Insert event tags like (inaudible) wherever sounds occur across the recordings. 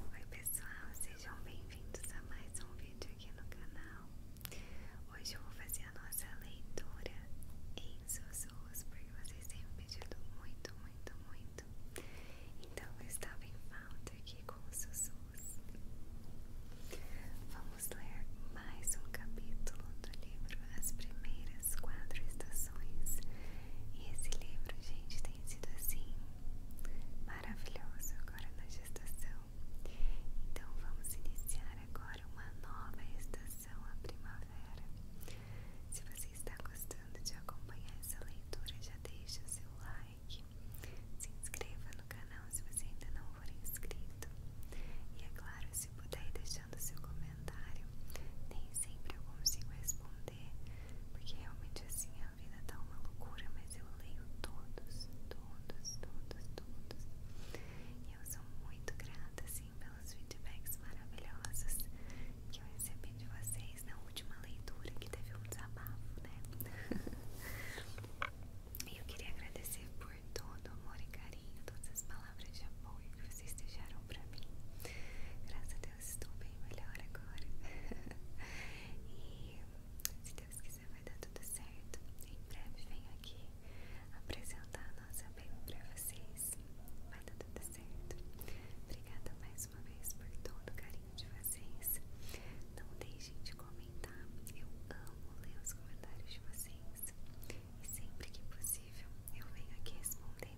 Oi pessoal, sejam bem-vindos a mais um vídeo aqui no canal. Hoje eu vou fazer a nossa leitura em sussurros, porque vocês têm me pedido muito, muito, muito. Então eu estava em falta aqui com os sussurros. Vamos ler mais um capítulo do livro As Primeiras Quatro Estações. E esse livro, gente, tem sido assim maravilhoso agora na gestação. Então vamos iniciar agora uma nova estação, a primavera. Se você está gostando de acompanhar essa leitura, já deixa o seu like, se inscreva no canal se você ainda não for inscrito. E é claro, se puder ir deixando seu comentário, nem sempre eu consigo responder porque realmente assim a vida tá uma loucura, mas eu leio todos, todos, todos, todos. E eu sou muito grata assim pelos feedbacks maravilhosos que eu recebi de vocês na última leitura que teve um desabafo, né? (laughs) E eu queria agradecer por todo o amor e carinho, todas as palavras de apoio que vocês deixaram pra mim. Graças a Deus eu estou bem melhor agora. (laughs) e se Deus quiser, vai dar tudo certo. Em breve venho aqui apresentar a nossa baby para vocês. Vai dar tudo certo. Obrigada mais uma vez por todo o carinho de vocês. Não deixem de comentar. Eu amo ler os comentários de vocês. E sempre que possível eu venho aqui responder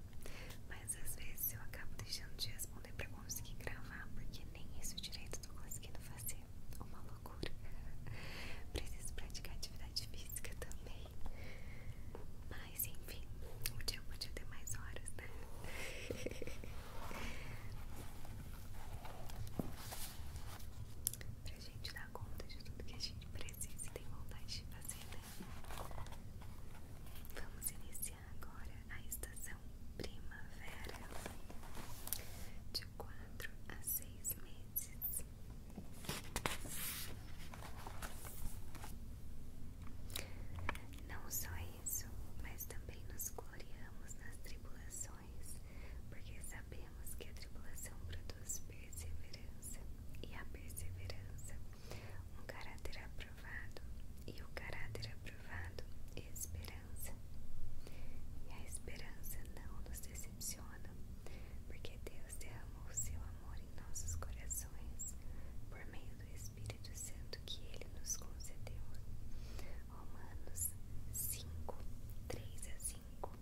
às vezes eu acabo deixando de responder pra conseguir gravar, porque nem isso direito eu tô conseguindo fazer. Uma loucura. (laughs) Preciso praticar atividade física também. Mas enfim, o dia pode ter mais horas, né? (laughs) pra gente dar conta de tudo que a gente precisa e tem vontade de fazer, né? Vamos iniciar agora a estação primavera, de quatro a seis meses. Não só isso, mas também nos gloriamos nas tribulações, porque sabemos que a tribulação produz perseverança, e a perseverança, um caráter aprovado e o caráter aprovado, esperança. E a esperança não nos decepciona, porque Deus derramou seu amor em nossos corações por meio do Espírito Santo que ele nos concedeu. Romanos 5, 3 a 5.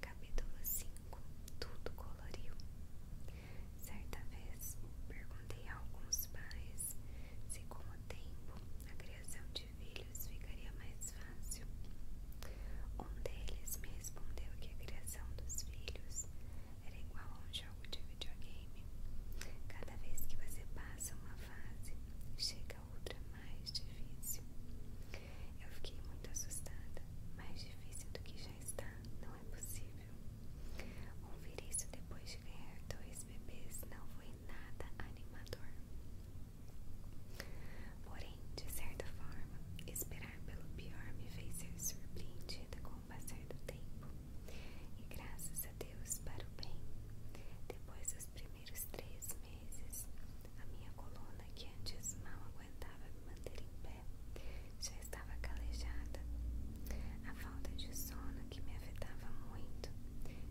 Capítulo 5 Tudo coloriu. Certa vez, perguntei a alguns pais se, com o tempo, a criação de filhos ficaria mais fácil. Um deles me respondeu que a criação dos filhos era igual a um jogo de videogame. Cada vez que você passa uma fase, chega outra mais difícil. Eu fiquei muito assustada. Mais difícil do que já está, não é possível. Ouvir isso depois de ganhar dois bebês não foi nada animador. Porém, de certa forma, esperar pelo pior me fez ser surpreendida com o passar do tempo. E graças a Deus para o bem. Depois dos primeiros três meses, a minha coluna, que antes mal aguentava me manter em pé, já estava calejada. A falta de sono que me afetava muito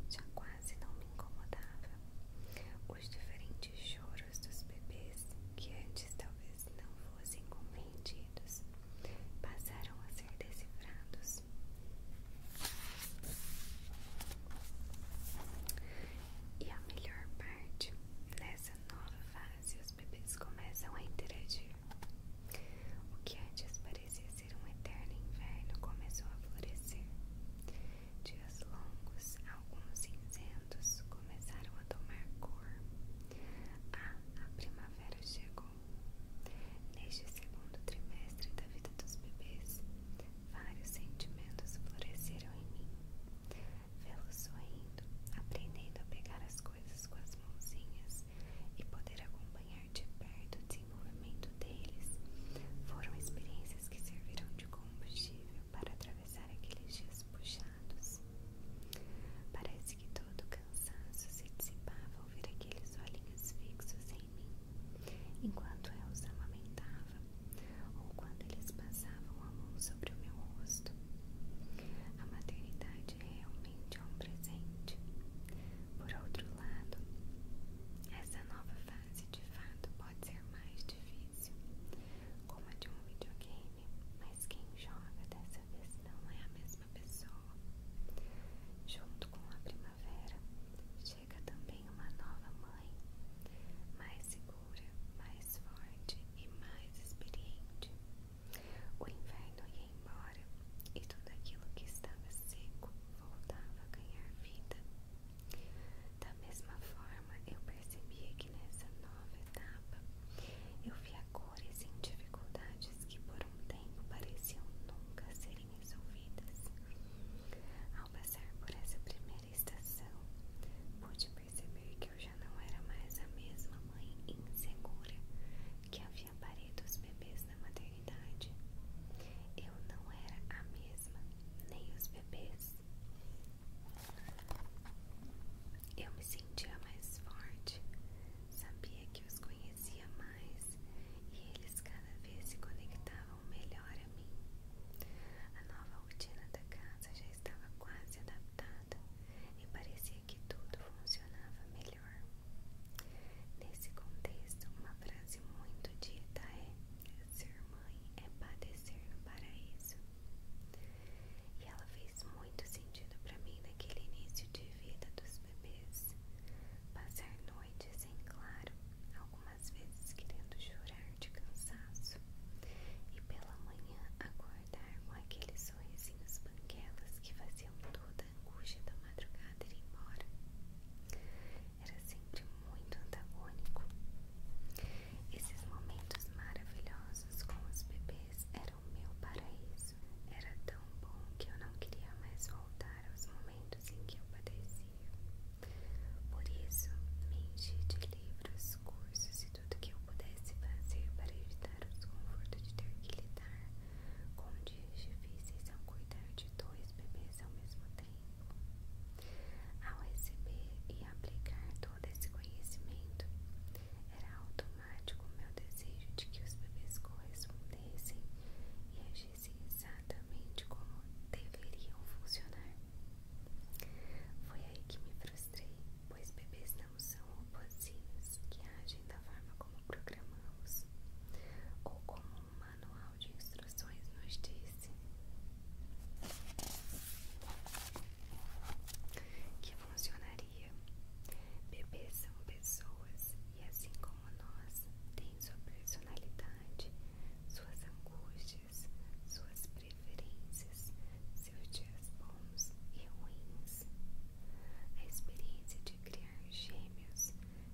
já quase não me incomodava. Os diferentes choros dos bebês, que antes talvez não fossem compreendidos, passaram a ser decifrados. E a melhor parte, nessa nova fase, os bebês começam a interagir o que antes parecia ser um eterno inverno começou a florescer. Dias longos, alguns cinzentos, começaram a tomar cor. Ah, a primavera chegou. Neste segundo trimestre da vida dos bebês, vários sentimentos floresceram em mim. Vê-los sorrindo, aprendendo a pegar as coisas com as mãozinhas, e poder acompanhar de perto o desenvolvimento deles foram experiências que serviram de combustível para atravessar aqueles dias puxados. Parece que todo cansaço se dissipava ao ver aqueles olhinhos fixos em mim, enquanto eu os amamentava, ou quando eles passavam a mão sobre o meu rosto. A maternidade realmente é um presente. Por outro lado, essa nova fase de fato pode ser mais difícil, como a de um videogame, mas quem joga dessa vez não é a mesma pessoa. Junto com a primavera, chega também uma nova mãe, mais segura, mais forte e mais experiente. O inverno ia embora e tudo aquilo que estava seco voltava a ganhar vida. Da mesma forma, eu percebia que nessa nova etapa eu via cores em dificuldades que por um tempo pareciam nunca serem resolvidas. Ao passar por essa primeira estação, pude perceber que eu já não era mais a mesma mãe insegura que havia parido os bebês na maternidade. Eu não era a mesma, nem os bebês. Eu me sentia mais forte, sabia que os conhecia mais e eles cada vez se conectavam melhor a mim. A nova rotina da casa já estava quase adaptada e parecia que tudo funcionava melhor. Nesse contexto, uma frase muito dita é: Ser mãe é padecer no paraíso. E ela fez muito sentido para mim naquele início de vida dos bebês. Passar noites sem claro, algumas vezes querendo chorar de cansaço, e pela manhã acordar com aqueles sorrisinhos banguelas que faziam toda a angústia da madrugada ir embora. Era sempre muito antagônico. Esses momentos maravilhosos com os bebês eram meu paraíso. Era tão bom que eu não queria mais voltar aos momentos em que eu padecia. Por isso, me enchi de livros, cursos e tudo que eu pudesse fazer para evitar o desconforto de ter que lidar com dias difíceis ao cuidar de dois bebês ao mesmo tempo. Ao receber e aplicar todo esse conhecimento, era automático meu desejo de que os bebês correspondessem e agissem exatamente como deveriam funcionar. Foi aí que me frustrei, pois bebês não são robozinhos que agem da forma como programamos ou como um manual de instruções nos disse que funcionaria. Bebês são pessoas e, assim como nós, têm sua personalidade, suas angústias, suas preferências, seus dias bons e ruins. A experiência de criar gêmeos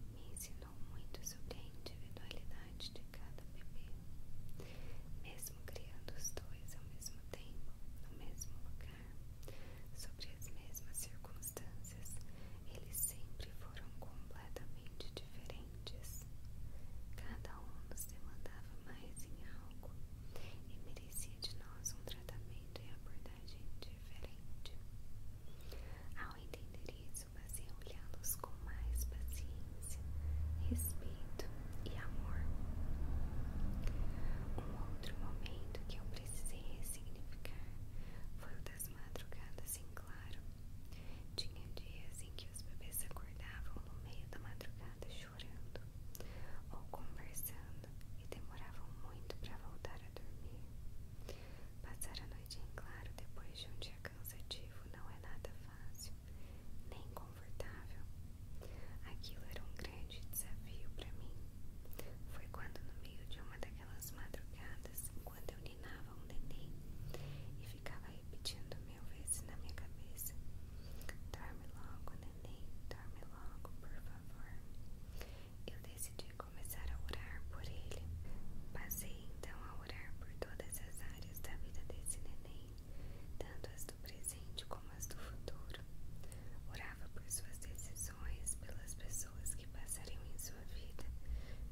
me ensinou muito sobre a individualidade de cada bebê. Mesmo criando os dois ao mesmo tempo, no mesmo lugar, sob as mesmas circunstâncias, eles sempre foram completamente diferentes. Cada um nos demandava mais em algo e merecia de nós um tratamento e abordagem diferente. Ao entender isso, passei a olhá-los com mais paciência, respeito e amor. Um outro momento que eu precisei ressignificar foi o das madrugadas em claro. Tinha dias em que os bebês acordavam no meio da madrugada chorando ou conversando e demoravam muito para voltar a dormir. Passar a noite em claro depois de um dia cansativo não é nada fácil, nem confortável. Aquilo era um grande desafio para mim. Foi quando, no meio de uma daquelas madrugadas, quando eu ninava um neném e ficava repetindo mil vezes na minha cabeça: Dorme logo, neném, dorme logo, por favor. Eu decidi começar a orar por ele. Passei então a orar por todas as áreas da vida desse neném, tanto as do presente como as do futuro. Orava por suas decisões, pelas pessoas que passariam em sua vida,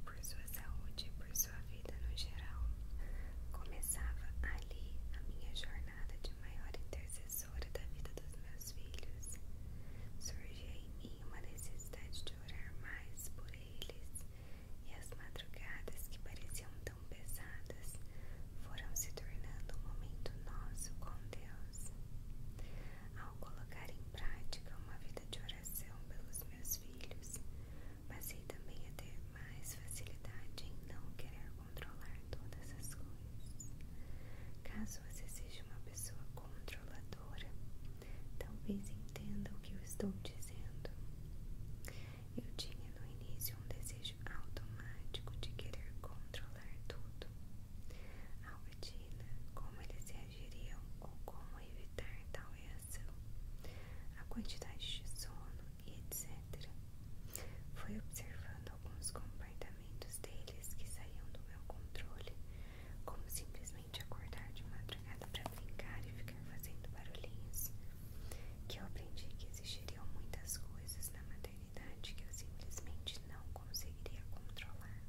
por sua saúde e por sua vida no geral. Começava ali a minha jornada de maior intercessão tesoura da vida dos meus filhos. surgiu em mim uma necessidade de orar mais por eles, e as madrugadas que pareciam tão pesadas foram se tornando um momento nosso com Deus. Ao colocar em prática uma vida de oração pelos meus filhos, passei também a ter mais facilidade em não querer controlar todas as coisas. Caso você seja uma pessoa controladora, talvez entenda o que eu estou dizendo. Eu tinha no início um desejo automático de querer controlar tudo. A rotina, como eles reagiriam ou como evitar tal reação, a quantidade de sono e etc. Fui observando alguns comportamentos comportamentos deles que saíam do meu controle, como simplesmente acordar de madrugada para brincar e ficar fazendo barulhinhos, que eu aprendi que existiriam muitas coisas na maternidade que eu simplesmente não conseguiria controlar.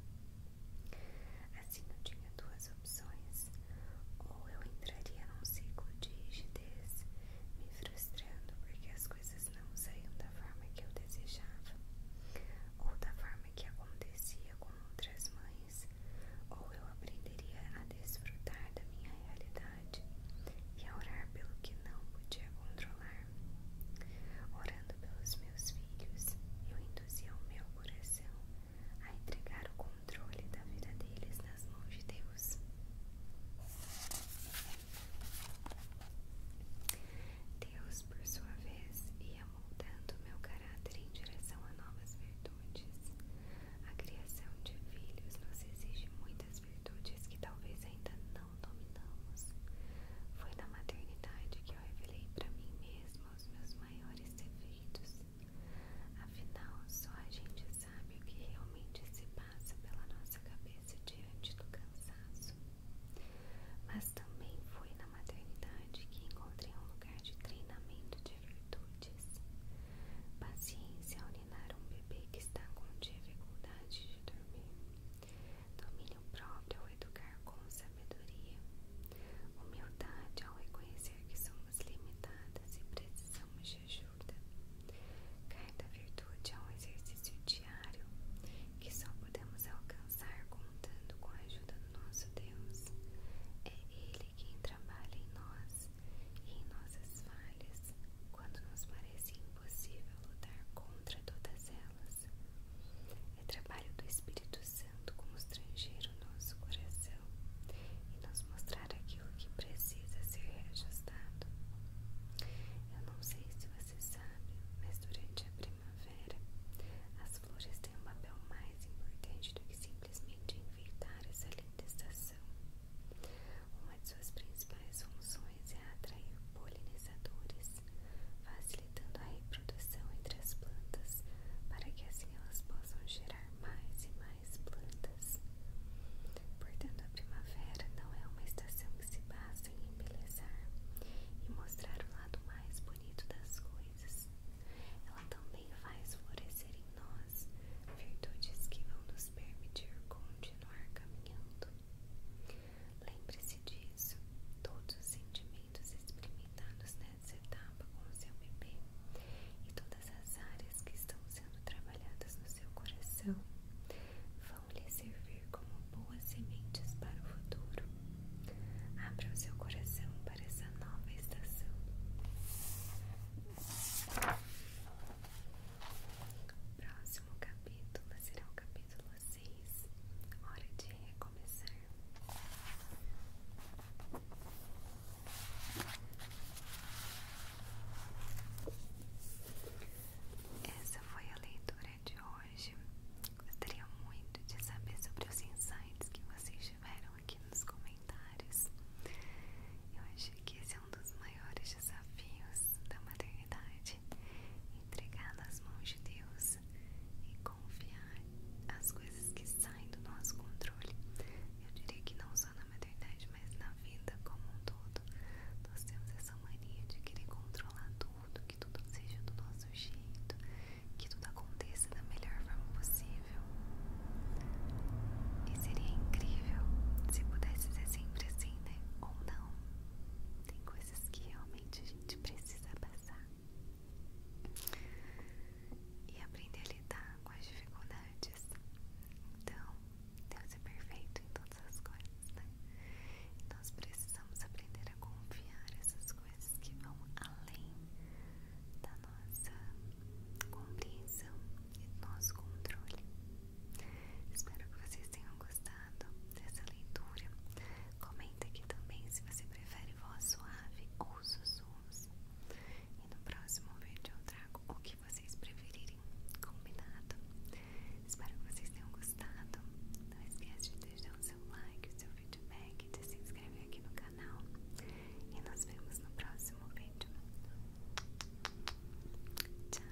Assim eu tinha duas opções, ou eu entraria num ciclo de rigidez, me frustrando porque as coisas coisas não saíam da forma que eu desejava, ou da forma que acontecia com outras mães, ou eu aprenderia a desfrutar da minha realidade e a orar pelo que não podia controlar. Orando pelos meus filhos, eu induzia o meu coração a entregar o controle da vida deles nas mãos de Deus. Deus, por sua vez, ia moldando meu caráter em direção a novas virtudes. A criação de filhos nos exige muitas virtudes que talvez ainda não dominamos. Foi na maternidade que eu revelei para mim mesma os meus maiores defeitos. Afinal, só a gente sabe o que realmente se passa pela nossa cabeça cabeça diante do cansaço. Mas também foi na maternidade que encontrei um lugar de treinamento de virtudes. Paciência ao ninar um bebê que está com dificuldade de dormir. Domínio próprio ao educar com sabedoria. Humildade ao reconhecer que somos limitadas e precisamos de ajuda ajuda. Cada virtude é um exercício diário que só podemos alcançar contando com a ajuda do nosso Deus. É Ele quem trabalha em nós e em nossas falhas quando nos parece impossível lutar contra todas elas. É trabalho do Espírito Santo constranger o nosso coração e nos mostrar aquilo que precisa ser reajustado. Eu não sei se você sabe, mas durante a primavera as flores têm um papel mais importante do que simplesmente enfeitar essa linda estação. Uma de suas principais funções é atrair polinizadores, facilitando a reprodução entre as plantas para que assim elas possam gerar mais e mais plantas. Portanto, a primavera não é uma estação que se passa em embelezar e mostrar o lado mais bonito das coisas. Ela também faz florescer em nós virtudes que vão nos permitir continuar caminhando. Lembre-se disso. Todos os sentimentos experimentados nessa etapa com o seu bebê e todas as áreas que estão sendo trabalhadas no seu coração vão lhe servir como boas sementes para o futuro. Abra o seu coração para essa nova estação. O próximo capítulo será o capítulo 6, Hora de Recomeçar. Essa foi a leitura de hoje. Gostaria muito de saber sobre os insights que vocês tiveram aqui nos comentários. Eu acho que esse é um dos maiores desafios da maternidade: entregar nas mãos de Deus e confiar as coisas que saem do nosso controle. Eu diria que não só na maternidade, mas na vida como um todo, nós temos essa mania de querer controlar tudo, que tudo seja do nosso jeito, que tudo aconteça da melhor forma possível. E seria incrível se pudesse ser sempre assim, né? Ou não. Tem coisas que realmente a gente precisa passar e aprender a lidar com as dificuldades. Então, Deus é perfeito em todas as coisas, né? Nós precisamos aprender a confiar nessas coisas que vão além da nossa compreensão e do nosso controle. Espero que vocês tenham gostado dessa leitura. Comenta aqui também se você prefere voz suave ou sussurros. E no próximo vídeo eu trago o que que vocês preferirem, combinado? Espero que vocês tenham gostado. Não esqueça de deixar o seu like, o seu feedback, de se inscrever aqui no canal. E nos vemos no próximo vídeo. Tchau!